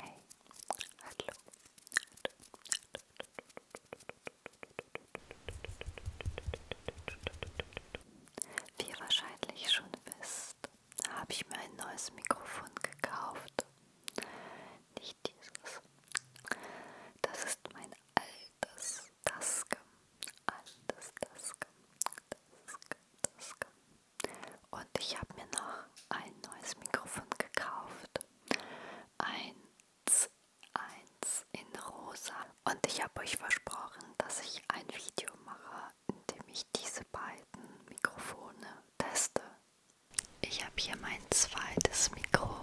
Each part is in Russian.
Hey, hallo. Wie ihr wahrscheinlich schon wisst, habe ich mir ein neues Mikrofon gekauft. Nicht dieses. Das ist mein altes Tascam. Altes Tascam. Tascam, Tascam. Und ich habe mir noch ein neues Mikrofon gekauft. Eins, eins in rosa. Und ich habe euch versprochen, dass ich ein Video mache, in dem ich diese beiden Mikrofone teste. Ich habe hier mein zweites Mikro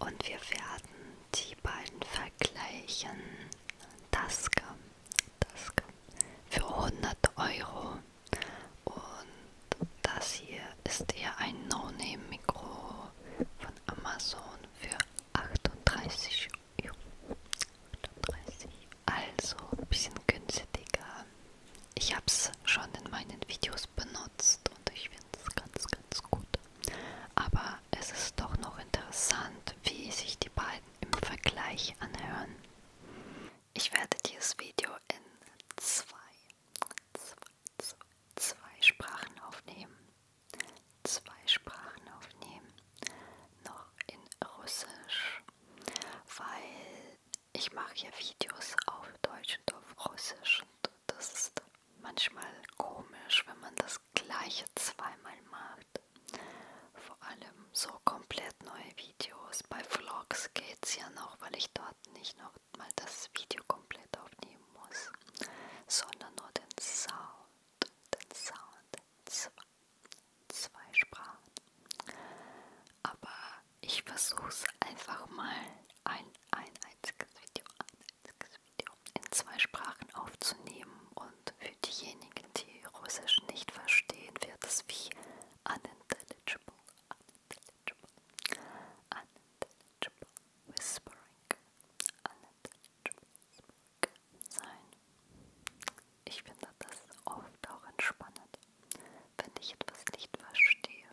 und wir werden die beiden vergleichen. Taske, Taske für 100 Euro. Und das hier ist eher ein No-Name-Mikro von Amazon für 38 Euro. 38. Also ein bisschen günstiger. Ich habe es schon in meinen Videos benutzt und ich finde es ganz, ganz gut. Aber es ist doch noch interessant, wie sich die beiden im Vergleich anhören. Ich werde dieses Video in zwei, zwei, zwei, zwei Sprachen aufnehmen. Zwei Sprachen aufnehmen. Noch in Russisch, weil ich mache ja Videos auf Deutsch und auf Russisch. Und das ist manchmal komisch, wenn man das gleiche zweimal macht. Vor allem so komplett neue Videos. Bei Vlogs geht's ja noch, weil ich dort nicht noch mal das Video komplett aufnehmen muss, sondern nur den Sound, den Sound in zwei, in zwei Sprachen. Aber ich versuche es einfach mal ein, ein einziges Video, ein einziges Video in zwei Sprachen aufzunehmen und für diejenigen, die Russisch nicht verstehen, wird es wie unintelligible unintelligible, unintelligible whispering, unintelligible whispering sein. Ich finde das oft auch entspannend, wenn ich etwas nicht verstehe.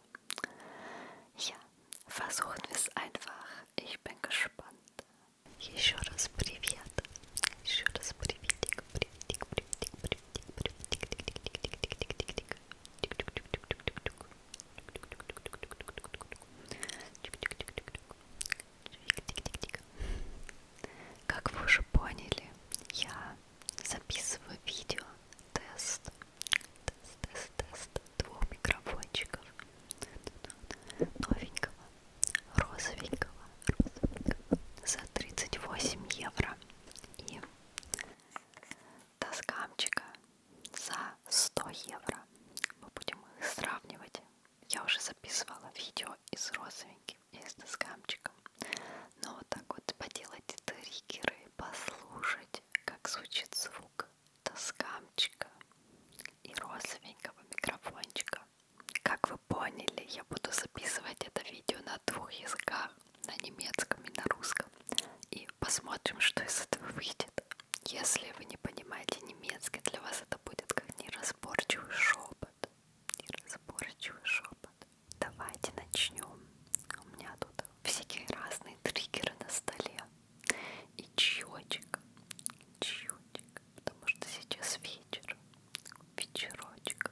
Ja, versuchen wir es einfach. Ich bin gespannt. Еще раз привет. Еще раз приветик, приветик, приветик, приветик. Как вы уже поняли, я записываю видео тест, тест, тест, тест двух микрофончиков новенького, розовенького, розовенького за 38 евро. И до скамчика за 100 евро. Мы будем их сравнивать. Я уже записывала видео из родственники и с доскамчиком. Но вот так вот поделать триггеры, послушать, как звучит звук доскамчика и розовенького микрофончика. Как вы поняли, я буду записывать это видео на двух языках на немецком и на русском. И посмотрим, что из этого выйдет. Если вы не понимаете немецкий, для вас это будет как неразборчивый шепот. Неразборчивый шепот. Давайте начнем. У меня тут всякие разные триггеры на столе. И чаечек. Чаечек. Потому что сейчас вечер. Вечерочек.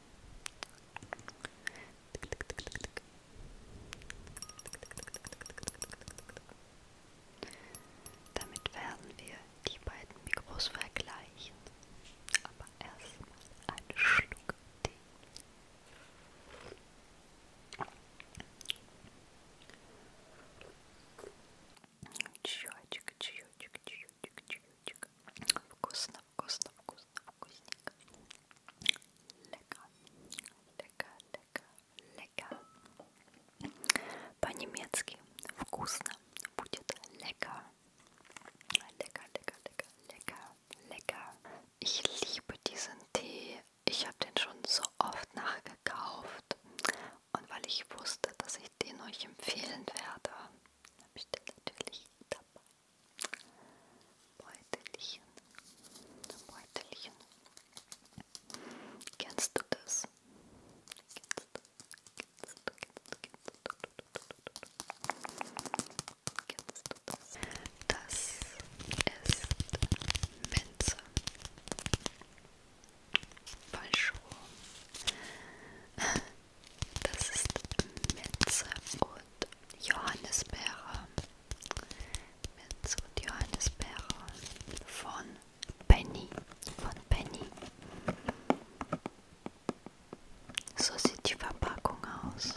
Damit werden wir die beiden Mikros vergleichen. Aber erstmal einen Schluck Tee. Вкусно, Вкусно, вкусно, вкусненько. Lecker, lecker, lecker, lecker. По-немецки вкусно будет lecker. Lecker, lecker, lecker, lecker, lecker. Ich liebe diesen Tee. Ich habe den schon so oft nachgekauft. Und weil ich wusste, dass ich den euch empfehlen werde, habe ich den natürlich dabei. Beutelchen, Beutelchen. Kennst du das? das? ist Minze. Falsch Das ist Metze und Johannisbeere. Metze und Johannisbeere von Penny. Von Penny. So sieht die Verpackung aus.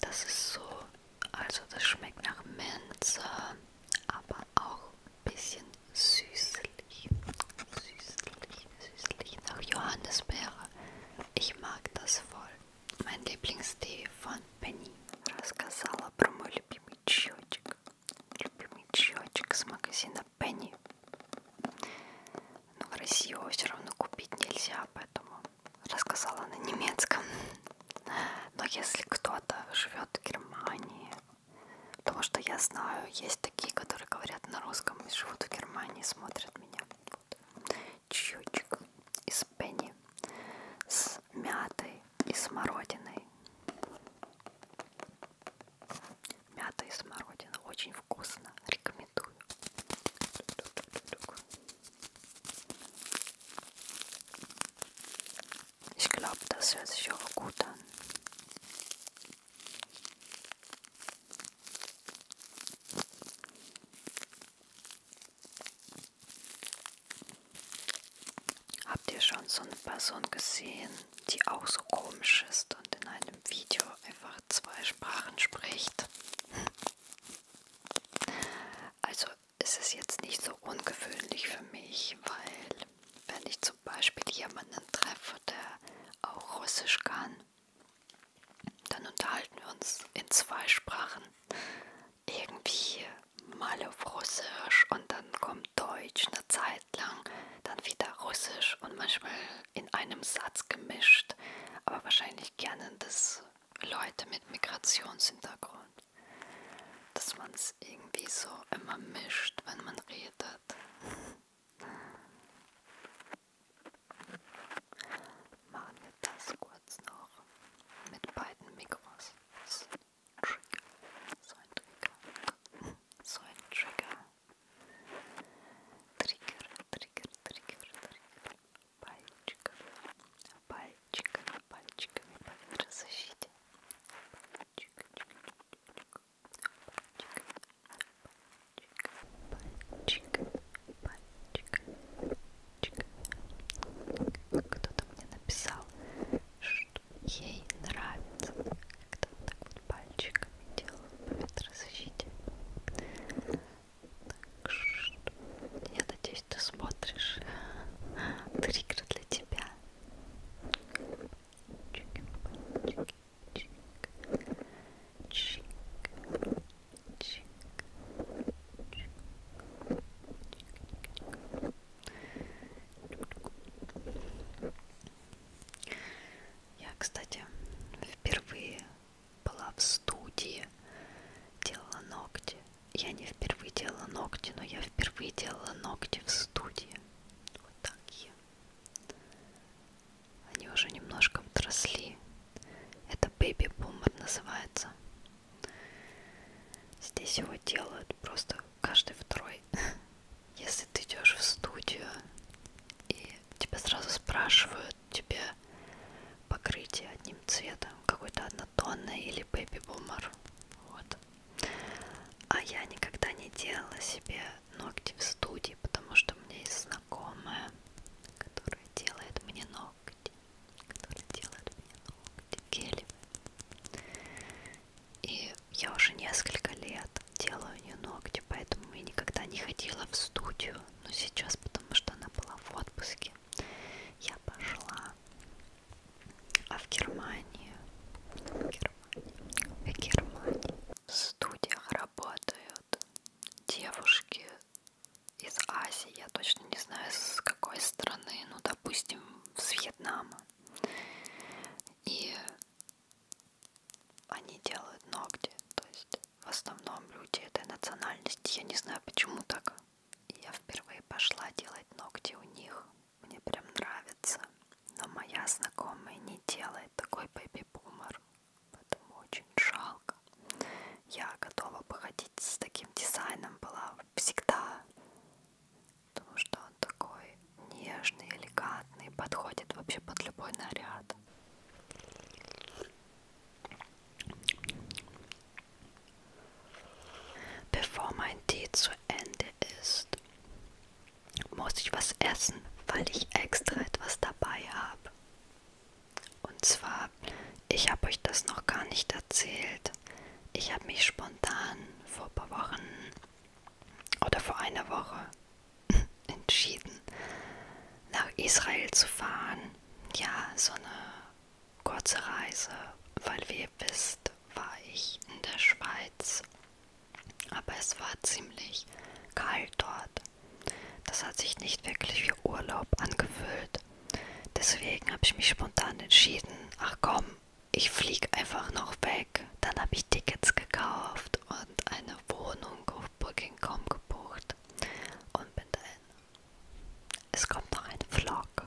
Das ist so, also das schmeckt nach Minze, aber auch ein bisschen süßlich. süßlich, süßlich nach Johannisbeere. Ich mag das voll. Mein Lieblingstee von Penny. Рассказала про мой любимый чаечек. Любимый чаечек с магазина Penny. Но в России его все равно купить нельзя, поэтому рассказала на немецком. Но если кто-то живет в Германии, потому что я знаю, есть такие, которые говорят на русском и живут в Германии, смотрят меня. Вот. Чьючик из пенни с мятой и смородиной. Мята и смородина. Очень вкусно. Рекомендую. Ich glaube, das hört sich auch gut an. Habt ihr schon so eine Person gesehen, die auch so komisch ist und in einem Video einfach zwei Sprachen spricht? Also ist es jetzt nicht so ungewöhnlich für mich, weil wenn ich zum Beispiel jemanden treffe, der auch Russisch kann, dann unterhalten wir uns in zwei Sprachen. Irgendwie mal auf Russisch und dann kommt Deutsch eine Zeit lang, dann wieder Russisch und manchmal in einem Satz gemischt. Aber wahrscheinlich gerne das Leute mit Migrationshintergrund. Dass man es irgendwie so immer mischt, wenn man redet. Machen wir das kurz noch mit beiden Mikros. So ein Trigger. So ein Trigger. So ein Trigger. Trigger, Trigger, Trigger, Trigger. Пальчиками, пальчиками, пальчиками по защите. Пальчик, чик, чик, чик. пальчик, пальчик, пальчик. Кто-то мне написал, что ей нравится, когда он так вот пальчиками делает по ветрозащите. Так что, я надеюсь, ты смотришь. Триггер для тебя. Пальчики, пальчики чик, чик, Я, кстати, впервые была в студии, делала ногти. Я не впервые делала ногти, но я впервые делала ногти в студии. Вот такие. Они уже немножко подросли. Это бэби-бумер называется. Здесь его делают просто каждый второй. Если ты идешь в студию и тебя сразу спрашивают, тебе покрытие одним цветом, какой-то однотонный или бэби-бумер. Вот. А я никогда не делала себе ногти в студии, потому что у меня есть знакомая, которая делает мне ногти, которая делает мне ногти гелевые. И я уже несколько лет делаю у нее ногти, поэтому я никогда не ходила в студию. Но сейчас, потому что она была в отпуске, я пошла. А в Германии, в Германии, в Германии в студиях работают девушки из Азии, я точно не знаю с какой страны, ну допустим с Вьетнама. И они делают ногти, то есть в основном люди этой национальности, я не знаю почему так. Я впервые пошла делать ногти у них, мне прям нравится, но моя знакомая не делает такой бэби-бумер. Поэтому очень жалко. Я готова походить с таким дизайном была всегда. Потому что он такой нежный, элегантный, подходит вообще под любой наряд. Bevor mein Tee zu Ende ist, muss ich was essen, weil ich extra etwas dabei habe. Und zwar, ich habe euch das noch gar nicht erzählt. Ich habe mich spontan vor ein paar Wochen oder vor einer Woche entschieden, nach Israel zu fahren. Ja, so eine kurze Reise, weil wie ihr wisst, war ich in der Schweiz. Aber es war ziemlich kalt dort. Das hat sich nicht wirklich wie Urlaub angefühlt. Deswegen habe ich mich spontan entschieden, ach komm, ich fliege einfach noch weg. Dann habe ich Tickets gekauft und eine Wohnung auf Booking.com gebucht und bin dahin. Es kommt noch ein Vlog.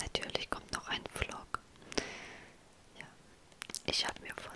Natürlich kommt noch ein Vlog. Ja. Ich habe mir von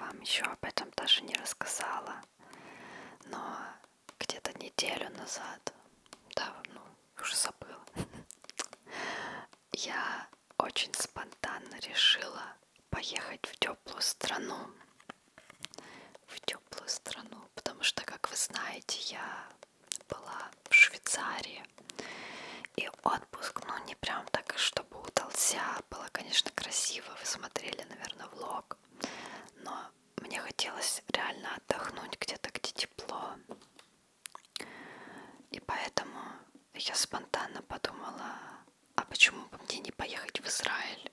вам еще об этом даже не рассказала, но где-то неделю назад, да, ну, уже забыла, я очень спонтанно решила поехать в теплую страну. В теплую страну, потому что, как вы знаете, я была в Швейцарии. И отпуск, ну не прям так и чтобы удался, было, конечно, красиво. Вы смотрели, наверное, влог. Но мне хотелось реально отдохнуть где-то, где тепло. И поэтому я спонтанно подумала, а почему бы мне не поехать в Израиль?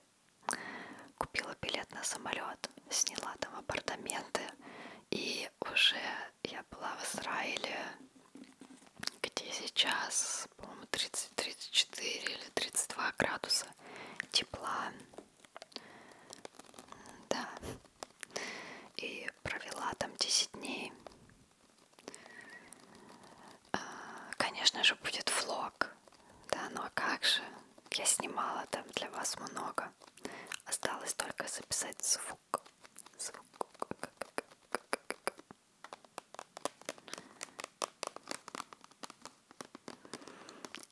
Купила билет на самолет, сняла там апартаменты. И уже я была в Израиле, где сейчас сейчас, по-моему, 30-34 или 32 градуса тепла. Да. И провела там 10 дней. А, конечно же, будет влог. Да, ну а как же? Я снимала там для вас много. Осталось только записать звук. Звук.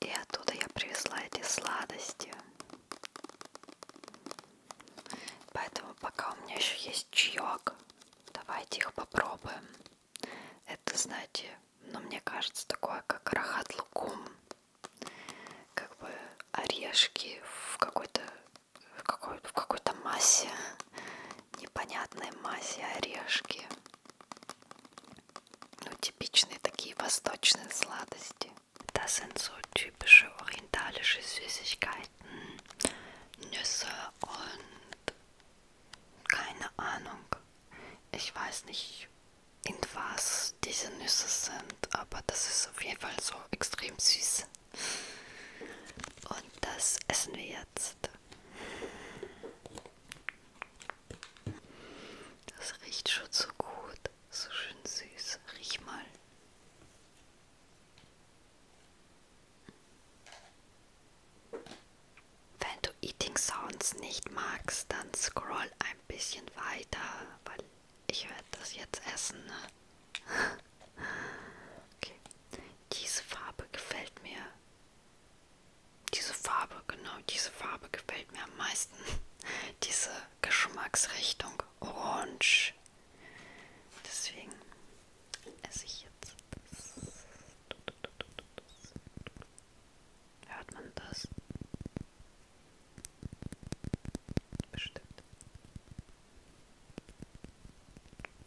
И оттуда я привезла эти сладости. Поэтому пока у меня еще есть чаек, давайте их попробуем. Это, знаете, ну мне кажется, такое как рахат лукум. Как бы орешки в какой-то в какой-то в какой массе непонятной массе орешки. Ну, типичные такие восточные сладости. Das sind so typische orientalische Süßigkeiten, Nüsse und keine Ahnung. Ich weiß nicht, in was diese Nüsse sind, aber das ist auf jeden Fall so extrem süß. Und das essen wir jetzt. Das riecht schon so gut, so schön süß. Riech mal. Wenn du Eating Sounds nicht magst, dann scroll ein bisschen weiter, weil ich werde das jetzt essen. Ne? okay. Diese Farbe gefällt mir diese Farbe, genau, diese Farbe gefällt mir am meisten. Diese Geschmacksrichtung Orange. Deswegen esse ich jetzt das. Hört man das? Bestimmt.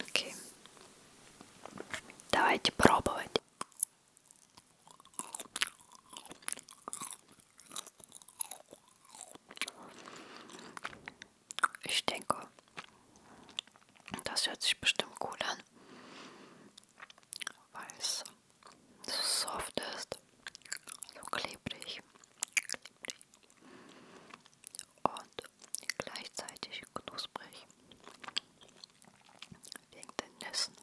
Окей. Давайте пробовать. Ich denke, das hört sich bestimmt cool an, weil es so soft ist, so klebrig. klebrig und gleichzeitig knusprig wegen den Nüssen.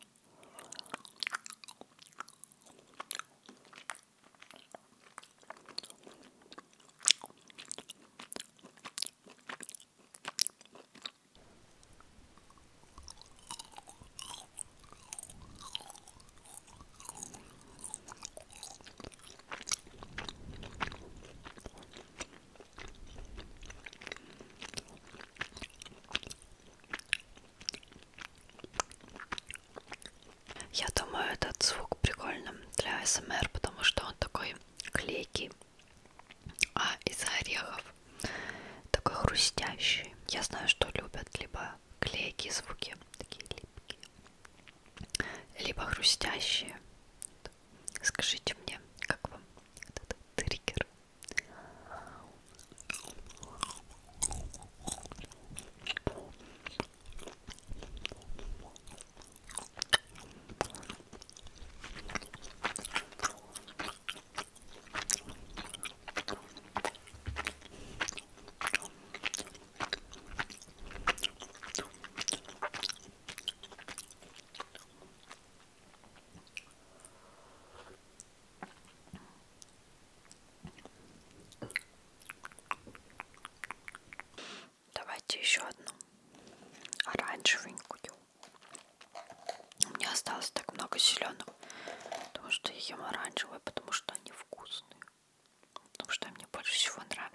Я думаю, этот звук прикольным для СМР, потому что он такой клейкий, а из орехов такой хрустящий. Я знаю, что любят либо клейкие звуки, такие липкие, либо хрустящие. Скажите мне, как вам этот триггер? Давайте еще одну оранжевенькую. У меня осталось так много зеленых, потому что я ем оранжевые, потому что они вкусные. Ну, что мне больше всего нравится.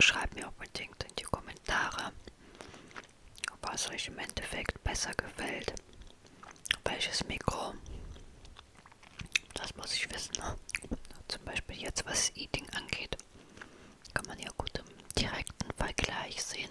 Schreibt mir unbedingt in die Kommentare, ob es euch im Endeffekt besser gefällt. Welches Mikro? Das muss ich wissen. Ne? Zum Beispiel jetzt, was Eating angeht, kann man ja gut im direkten Vergleich sehen.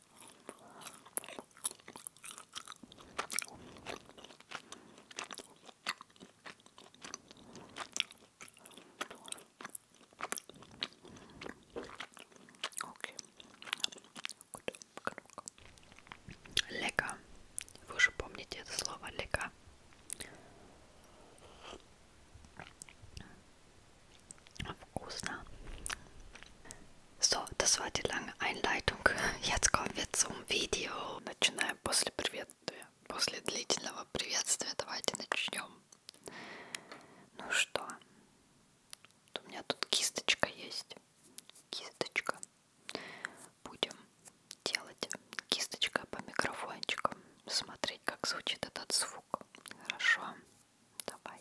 Okay. Gut. Lecker. Вы уже помните это слово лека. Вкусно. So, das war die lange Einleitung. Jetzt kommen wir zum Video. Начинаем после приветствия. После длительного приветствия давайте начнем. Ну что? У меня тут кисточка есть. Кисточка. Будем делать кисточкой по микрофончикам. Смотреть, как звучит этот звук. Хорошо. Давай.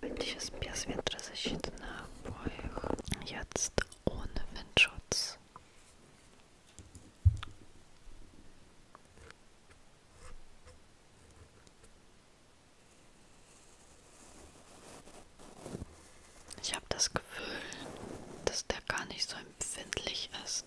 Bitte jest pies wiatrozaśitny w moich jetzt ohne Windschutz. Ich habe das Gefühl, dass der gar nicht so empfindlich ist.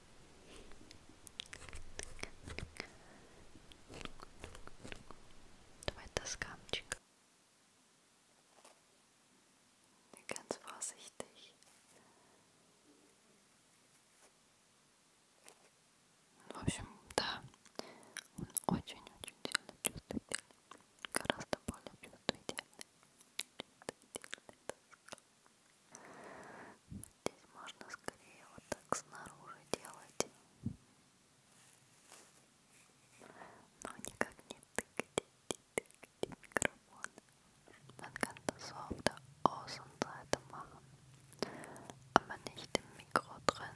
Давай доскамчик. Ganz vorsichtig. В общем, да, он очень-очень сильно чувствительный, гораздо более чувствительный, чувствительный доска. Здесь можно скорее вот так снаружи делать, но никак не тыкать, не тыкать микрофон. Man kann das auf der Außenseite machen, aber nicht im Mikro drin.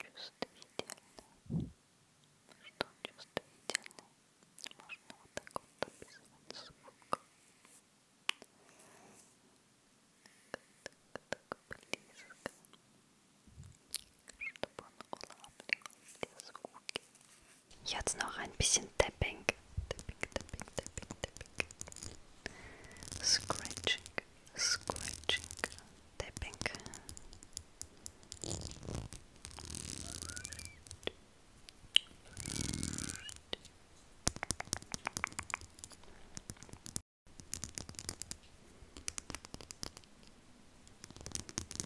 чувствительный. Что чувствительный? Можно вот так вот описывать звук. Так, так близко, чтобы он улавливал все звуки. Jetzt noch ein bisschen tapping. Tapping, tapping, tapping, tapping. Scratching, scratching, tapping.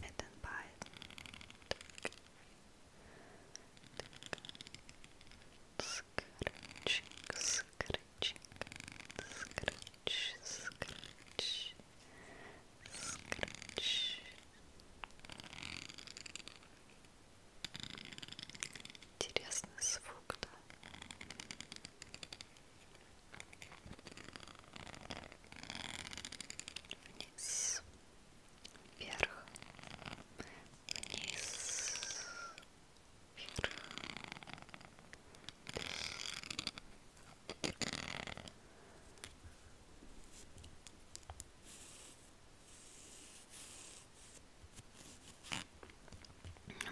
And then buy scratching, scratching, scratch, scratch, Скрыч. Интересный звук, да? Вниз, вверх, вниз, вверх, вниз,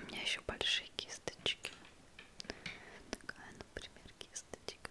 у меня еще большие кисточки. Такая, например, кисточка.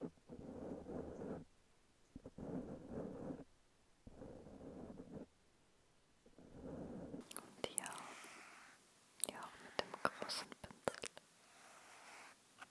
Und hier, hier auch mit dem großen Pinsel. Und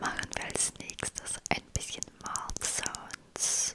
Machen wir als nächstes ein bisschen Mouth-Sounds.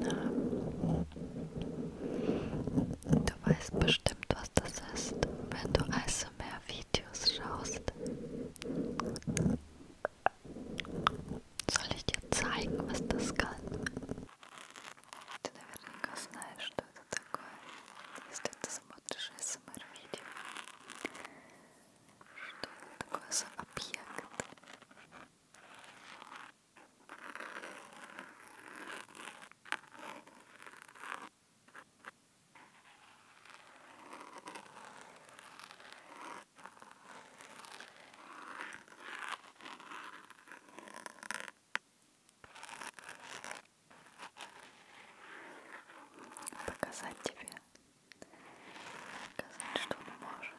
Ähm, du weißt bestimmt, was das ist, wenn du ASMR-Videos schaust. Soll ich dir zeigen, was das kann? Ты наверняка знаешь, что это такое, если ты смотришь ASMR-видео. Что это такое за объект? Показать тебе, показать, что он может.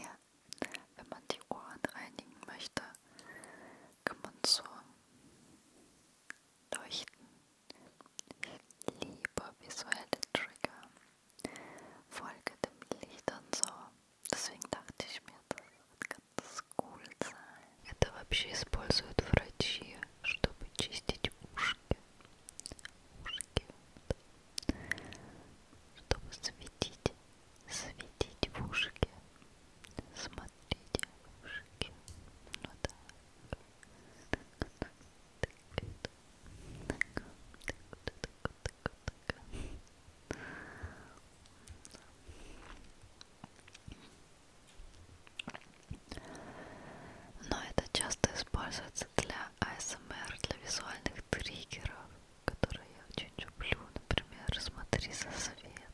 Ja, wenn man die Ohren reinigen möchte, kann man so leuchten. Ich liebe visuelle Trigger. Folge dem Licht und so. Deswegen dachte ich mir, das wird ganz cool sein. Это вообще используют врачи, чтобы чистить ушки. Ушки. Чтобы светить светить в ушке, смотрите в ушки, ну так, так, так, так, так, так, так, так. Но это часто используется для АСМР, для визуальных триггеров которые я очень люблю, например, смотри за светом,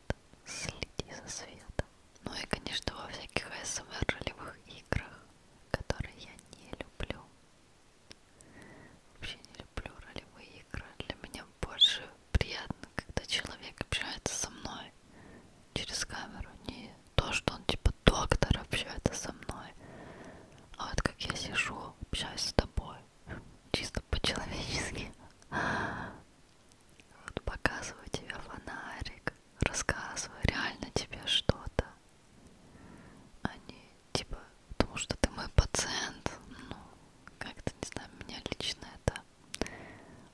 следи за светом. Ну и, конечно, во всяких ASMR-ролевых эм играх, которые я не люблю. Вообще не люблю ролевые игры. Для меня больше приятно, когда человек общается со мной через камеру. Не то, что он типа доктор общается со мной, а вот как я сижу, общаюсь с тобой чисто по-человечески. Вот показываю тебе фонарик, рассказываю реально тебе что-то. Они а типа, потому что ты мой пациент. Ну, как-то не знаю, меня лично это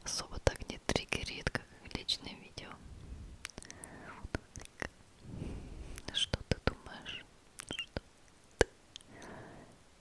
особо так не триггерит, как личное видео. Что ты думаешь? Что ты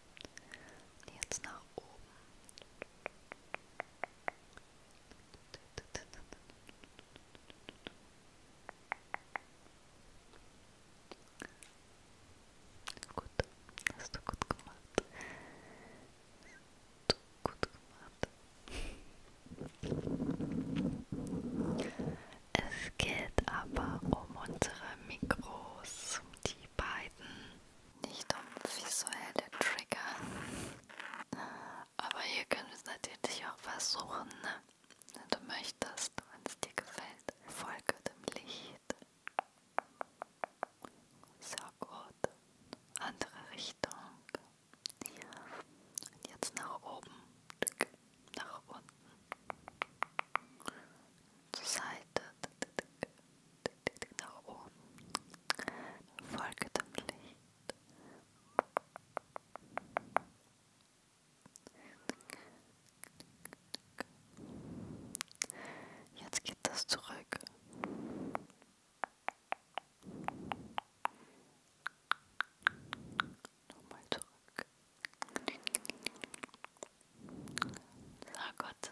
Und jetzt nach oben. Gut, hast du gut gemacht. Hast du gut gemacht. Es geht aber um unsere Mikros, die beiden nicht um visuelle Trigger. Aber hier können wir es natürlich auch versuchen, ne? wenn du möchtest, wenn es dir gefällt. Folge dem Licht. Sehr gut. Andere Richtung. Und jetzt nach oben. Nach unten. Zur Seite nach oben. Folge dem Licht. Jetzt geht das zurück. Nochmal zurück. So gut.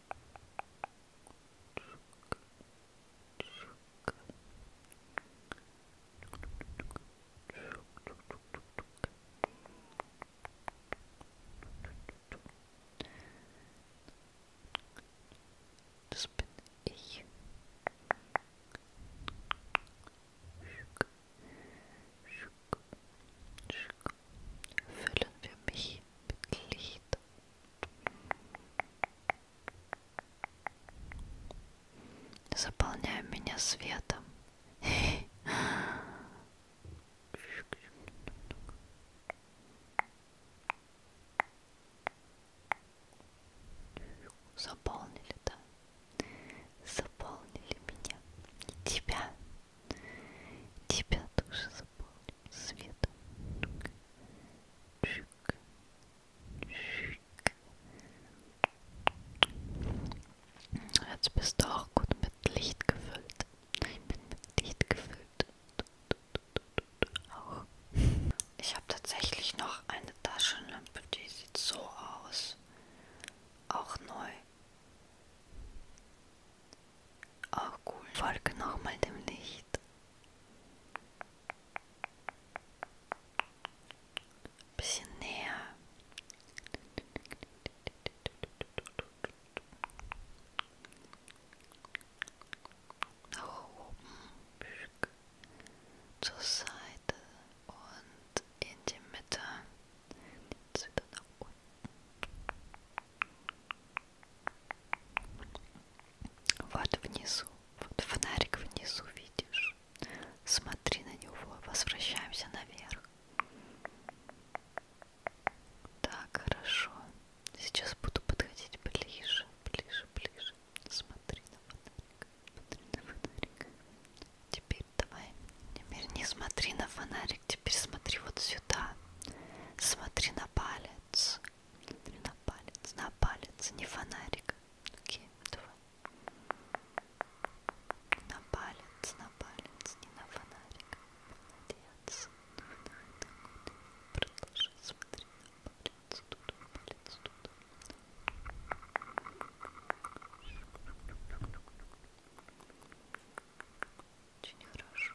Das bin ich. Füllen wir mich mit Licht. заполняя меня светом. Заполнили, да? Заполнили меня. И тебя. Тебя тоже заполнили. под светом. Чик, чик. Jetzt bist du auch gut mit Licht gefüllt. Ich bin mit Licht gefüllt. Auch. Ich habe tatsächlich noch eine Taschenlampe, die sieht so aus. Auch neu. Auch cool. Folge nochmal dem Licht. Ein bisschen näher. Nach oben, zur Seite und in die Mitte. Jetzt wieder nach unten. Вот внизу, вот фонарик внизу видишь. Смотри на него, возвращаемся наверх. Так, хорошо. Сейчас буду подходить ближе, ближе, ближе. Смотри на фонарик, смотри на фонарик. Теперь давай, теперь не смотри на фонарик, теперь смотри вот сюда. Смотри на палец Смотри на палец, на палец, не фонарик. Окей, давай. На палец, на палец, не на фонарик. Молодец. Продолжай, смотри на палец, тут, палец, тут. Очень хорошо.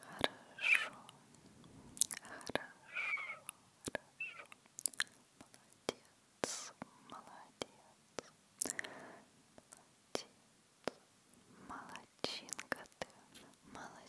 Хорошо, хорошо, хорошо. Молодец, молодец, молодец. Молодчинка ты, молодец.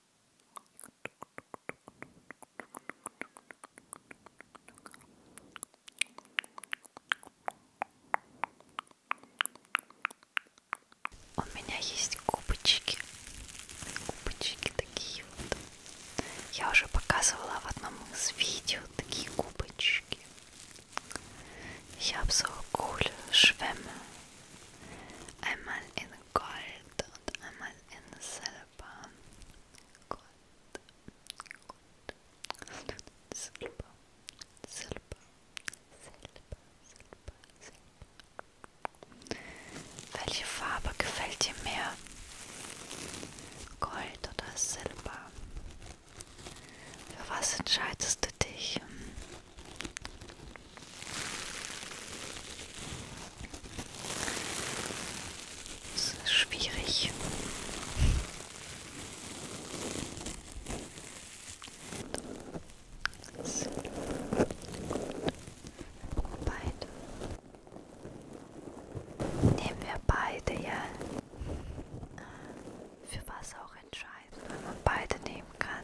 У меня есть губочки, губочки такие вот. Я уже показывала в одном из видео такие губочки. Ich habe so coole Schwämme. Einmal in Gold und einmal in Silber. Gold, Gold, Silber, Silber, Silber, Silber, Silber. Welche Farbe gefällt dir mehr? Gold oder Silber? Für was entscheidest du dich? Das ist schwierig. So. Beide. Nehmen wir beide, ja. Für was auch entscheiden, wenn man beide nehmen kann.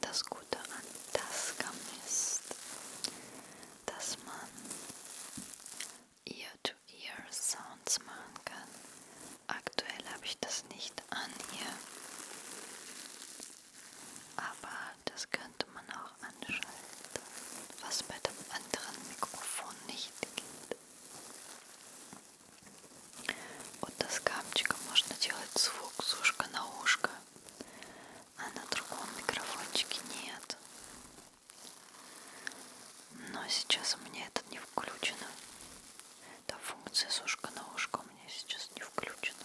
Das Gute an Tascam ist, dass man Ear-to-Ear-Sounds machen kann. Aktuell habe ich das nicht an hier, aber das könnte man auch anschalten. gibt, was bei dem anderen Mikrofon nicht gibt. Вот с камчика можно делать звук с ушка на ушко, а на другом микрофончике нет. Но сейчас у меня это не включено. Та функция с ушка на ушко у меня сейчас не включена.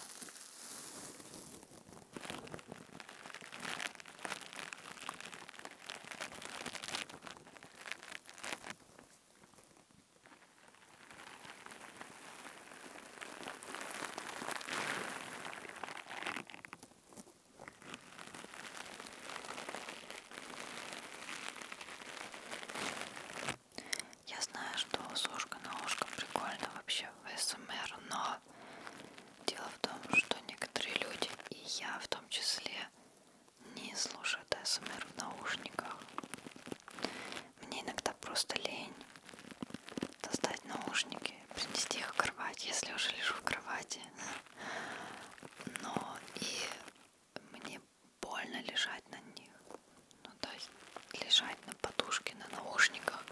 Я знаю, что с ушка на ушко прикольно вообще в СМР, эм но но дело в том, что некоторые люди, и я в том числе, не слушают АСМР эм в наушниках. Мне иногда просто лень достать наушники, принести их в кровать, если уже лежу в кровати. Но и мне больно лежать на них. Ну, то есть лежать на подушке, на наушниках,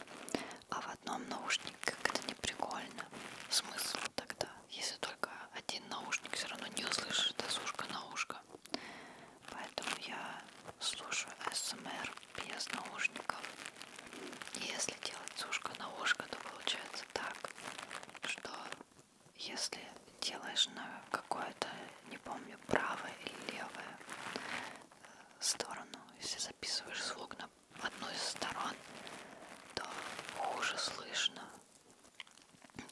а в одном наушнике как-то не прикольно. Смысл тогда? если только один наушник, все равно не услышишь, это с ушка на ушко. Поэтому я слушаю СМР без наушников. И если делать с ушка на ушко, то получается так, что если делаешь на какое-то, не помню, правое или левое э, сторону, если записываешь звук на в одну из сторон, то хуже слышно.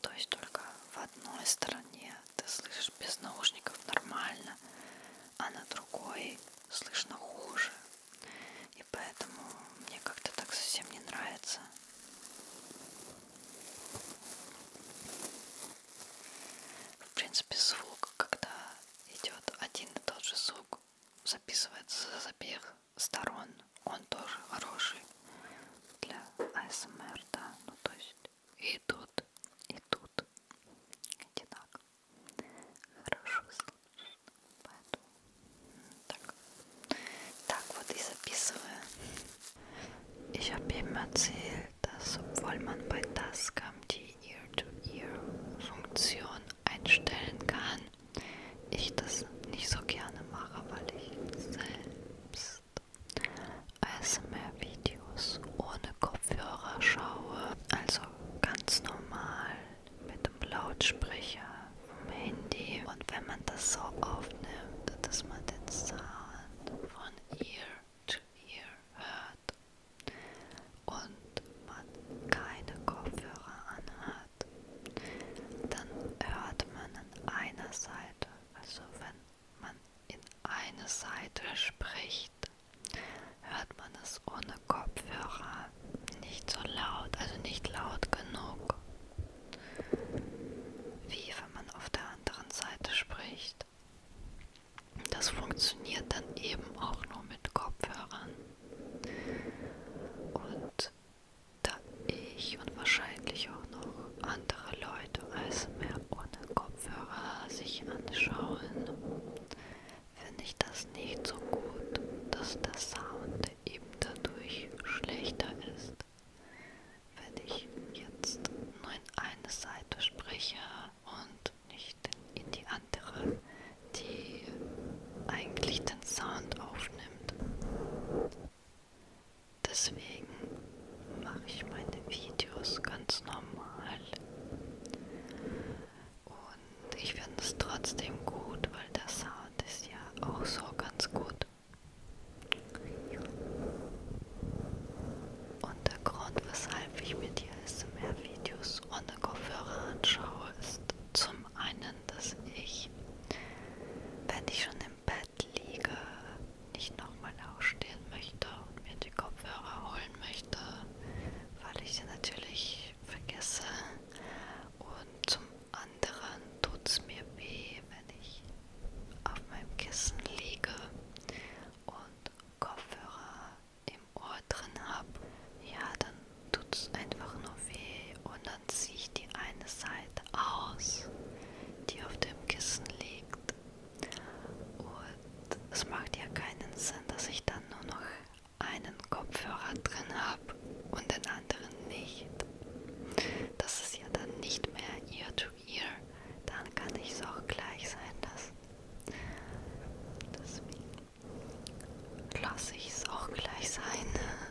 То есть только в одной стороне ты слышишь без наушников нормально, а на другой слышно хуже. И поэтому мне как-то так совсем не нравится. В принципе, звук, когда идет один и тот же звук, записывается за запех, сторон он тоже хороший для АСМР, да, ну то есть и тут, и тут одинаково хорошо слышно, поэтому так, так вот и записываю. Ich habe ihm erzählt, dass obwohl man bei Tascam die Ear-to-Ear-Funktion einstellen kann, wenn ich das nicht so gerne mache, weil ich selbst ASMR-Videos ohne Kopfhörer schaue, also ganz normal mit dem Lautsprecher vom Handy und wenn man das so aufnimmt, dass man den Sound von Ear to Ear hört und man keine Kopfhörer anhat, hat, dann hört man an einer Seite, also wenn man in eine Seite spricht, hört man es ohne Kopfhörer nicht so laut, also nicht laut genug, wie wenn man auf der anderen Seite spricht. Das funktioniert dann eben auch nur mit Kopfhörern. Und da ich und wahrscheinlich auch noch andere Leute ASMR ohne Kopfhörer sich anschauen, finde ich das nicht so gut, dass der Sound eben dadurch schlechter ist. Wenn ich jetzt nur in eine Seite spreche und nicht in die andere, die eigentlich den Sound aufnimmt. Deswegen mache ich meine Videos ganz normal. Und ich finde es trotzdem gut, weil der Sound ist ja auch so ganz gut. Und der Grund, weshalb ich mir die ASMR-Videos ohne Kopfhörer anschaue, ist, zum einen dass ich, wenn ich schon im Bett liege, nicht nochmal aufstehen möchte und mir die Kopfhörer holen möchte, weil ich sie natürlich vergesse. Und zum anderen tut es mir weh, wenn ich auf meinem Kissen liege und Kopfhörer im Ohr drin habe. Ja, dann tut es einfach nur weh und dann ziehe ich die eine Seite aus, die auf dem Kissen liegt. Und es macht ja keinen Sinn, dass ich dann nur noch einen Kopfhörer drin habe und den anderen nicht. Das ist ja dann nicht mehr ear to ear. Dann kann ich es auch gleich sein lassen. Deswegen lasse ich es auch gleich sein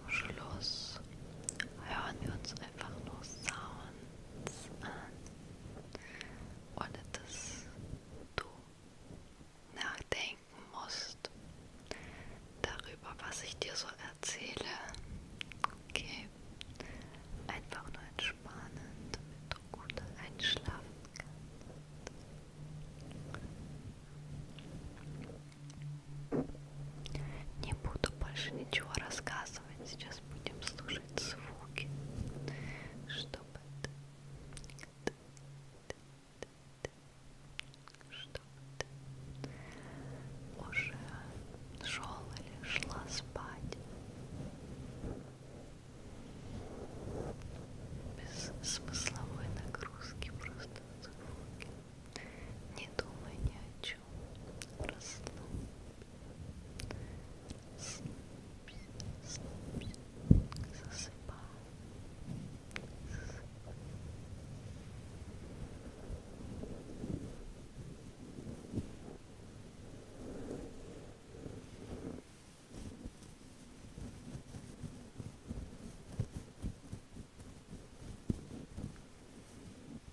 zum Schluss hören wir uns einfach nur Sounds an, ohne dass du nachdenken musst darüber, was ich dir so erzähle. Okay, einfach nur entspannen, damit du gut einschlafen kannst. Не буду больше ничего рассказывать. Сейчас будем слушать звуки, чтобы ты, ты, ты, ты, ты, чтобы ты уже шел или шла спать без смысловой нагрузки, просто звуки. Не думай ни о чем. Расслабься, расслабься, расслабься. Засыпай, засыпай. Расслабься,